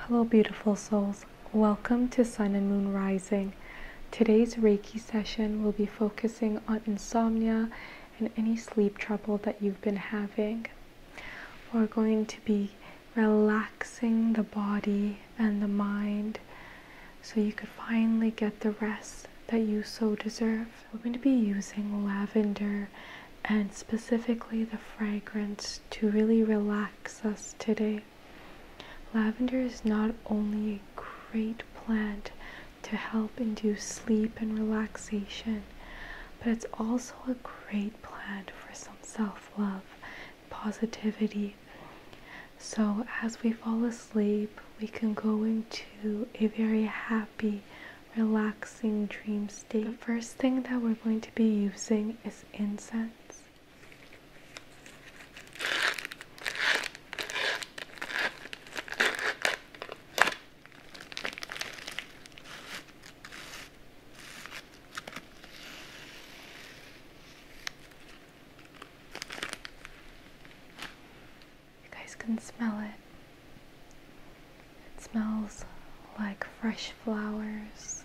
Hello, beautiful souls. Welcome to Sun and Moon Rising. Today's Reiki session will be focusing on insomnia and any sleep trouble that you've been having. We're going to be relaxing the body and the mind so you could finally get the rest that you so deserve. We're going to be using lavender and specifically the fragrance to really relax us today. Lavender is not only a great plant to help induce sleep and relaxation, but it's also a great plant for some self love, positivity. So, as we fall asleep, we can go into a very happy, relaxing dream state. The first thing that we're going to be using is incense. You guys can smell it. It smells like fresh flowers.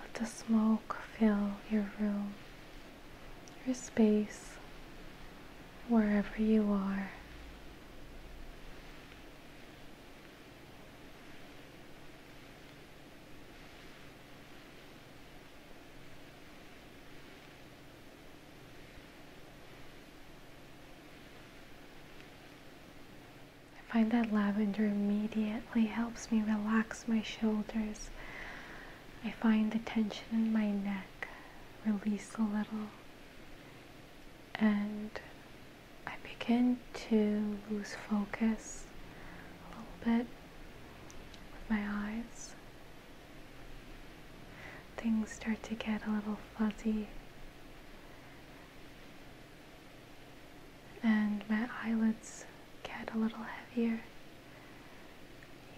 Let the smoke fill your room, your space, wherever you are. I find that lavender immediately helps me relax my shoulders. I find the tension in my neck release a little and I begin to lose focus a little bit with my eyes things start to get a little fuzzy. And my eyelids get a little heavier.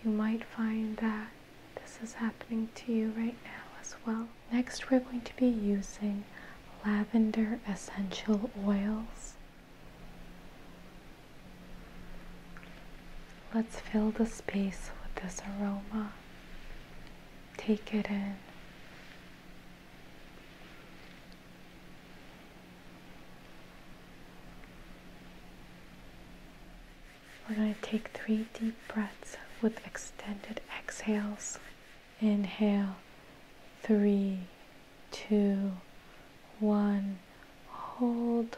You might find that this is happening to you right now as well. Next, we're going to be using lavender essential oils. Let's fill the space with this aroma. Take it in. We're going to take three deep breaths with extended exhales. Inhale, three, two, one, hold.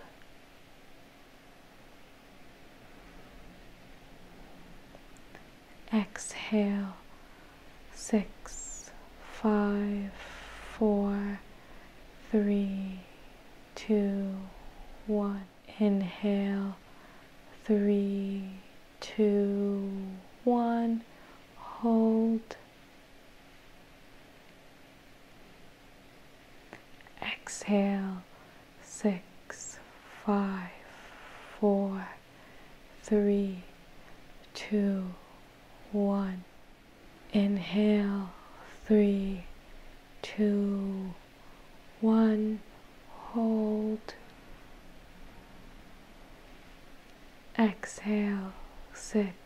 Exhale six, five, four, three, two, one. Inhale three, two, one. Hold Exhale six, five, four, three, two, one. Inhale three, two, one. Hold. Exhale six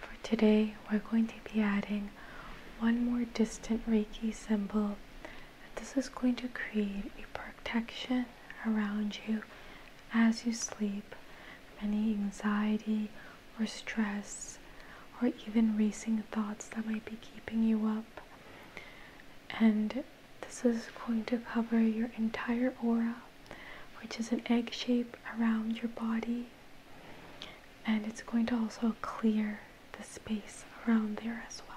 For today, we're going to be adding one more distant Reiki symbol this is going to create a protection around you as you sleep any anxiety or stress or even racing thoughts that might be keeping you up. And this is going to cover your entire aura, which is an egg shape around your body. And it's going to also clear the space around there as well.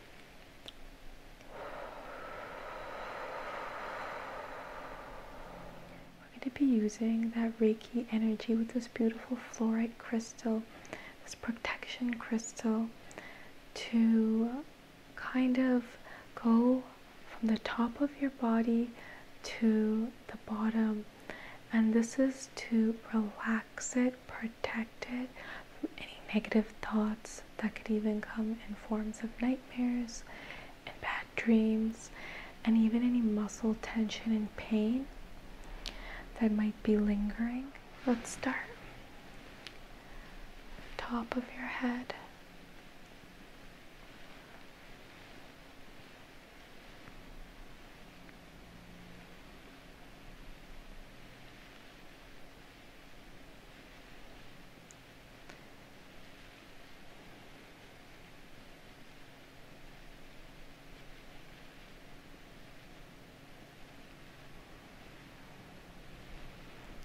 We're going to be using that Reiki energy with this beautiful fluorite crystal, this protection crystal, to kind of go from the top of your body to the bottom. And this is to relax it, protect it, any negative thoughts that could even come in forms of nightmares and bad dreams, and even any muscle tension and pain that might be lingering. Let's start. Top of your head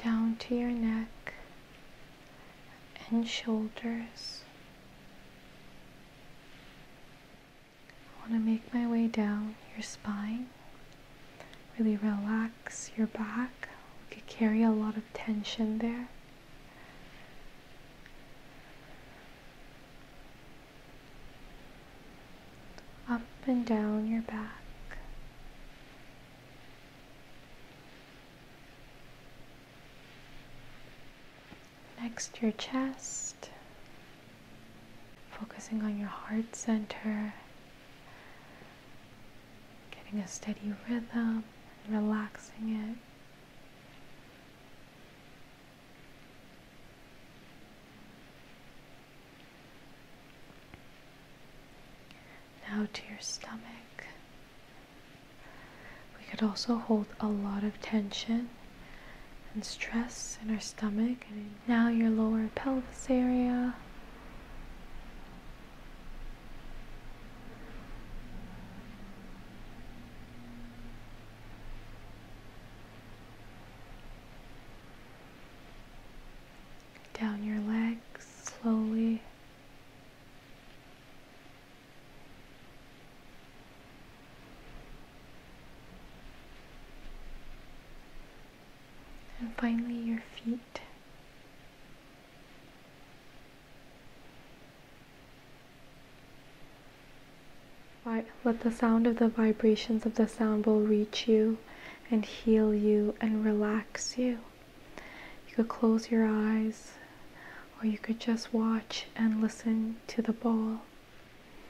down to your neck and shoulders. I want to make my way down your spine. Really relax your back. We could carry a lot of tension there. Up and down your back. Next, your chest, focusing on your heart center Getting a steady rhythm and relaxing it. Now to your stomach. We could also hold a lot of tension and stress in our stomach now your lower pelvis area. Down your legs slowly. And finally, your feet. Let the sound of the vibrations of the sound bowl reach you and heal you and relax you. You could close your eyes or you could just watch and listen to the bowl.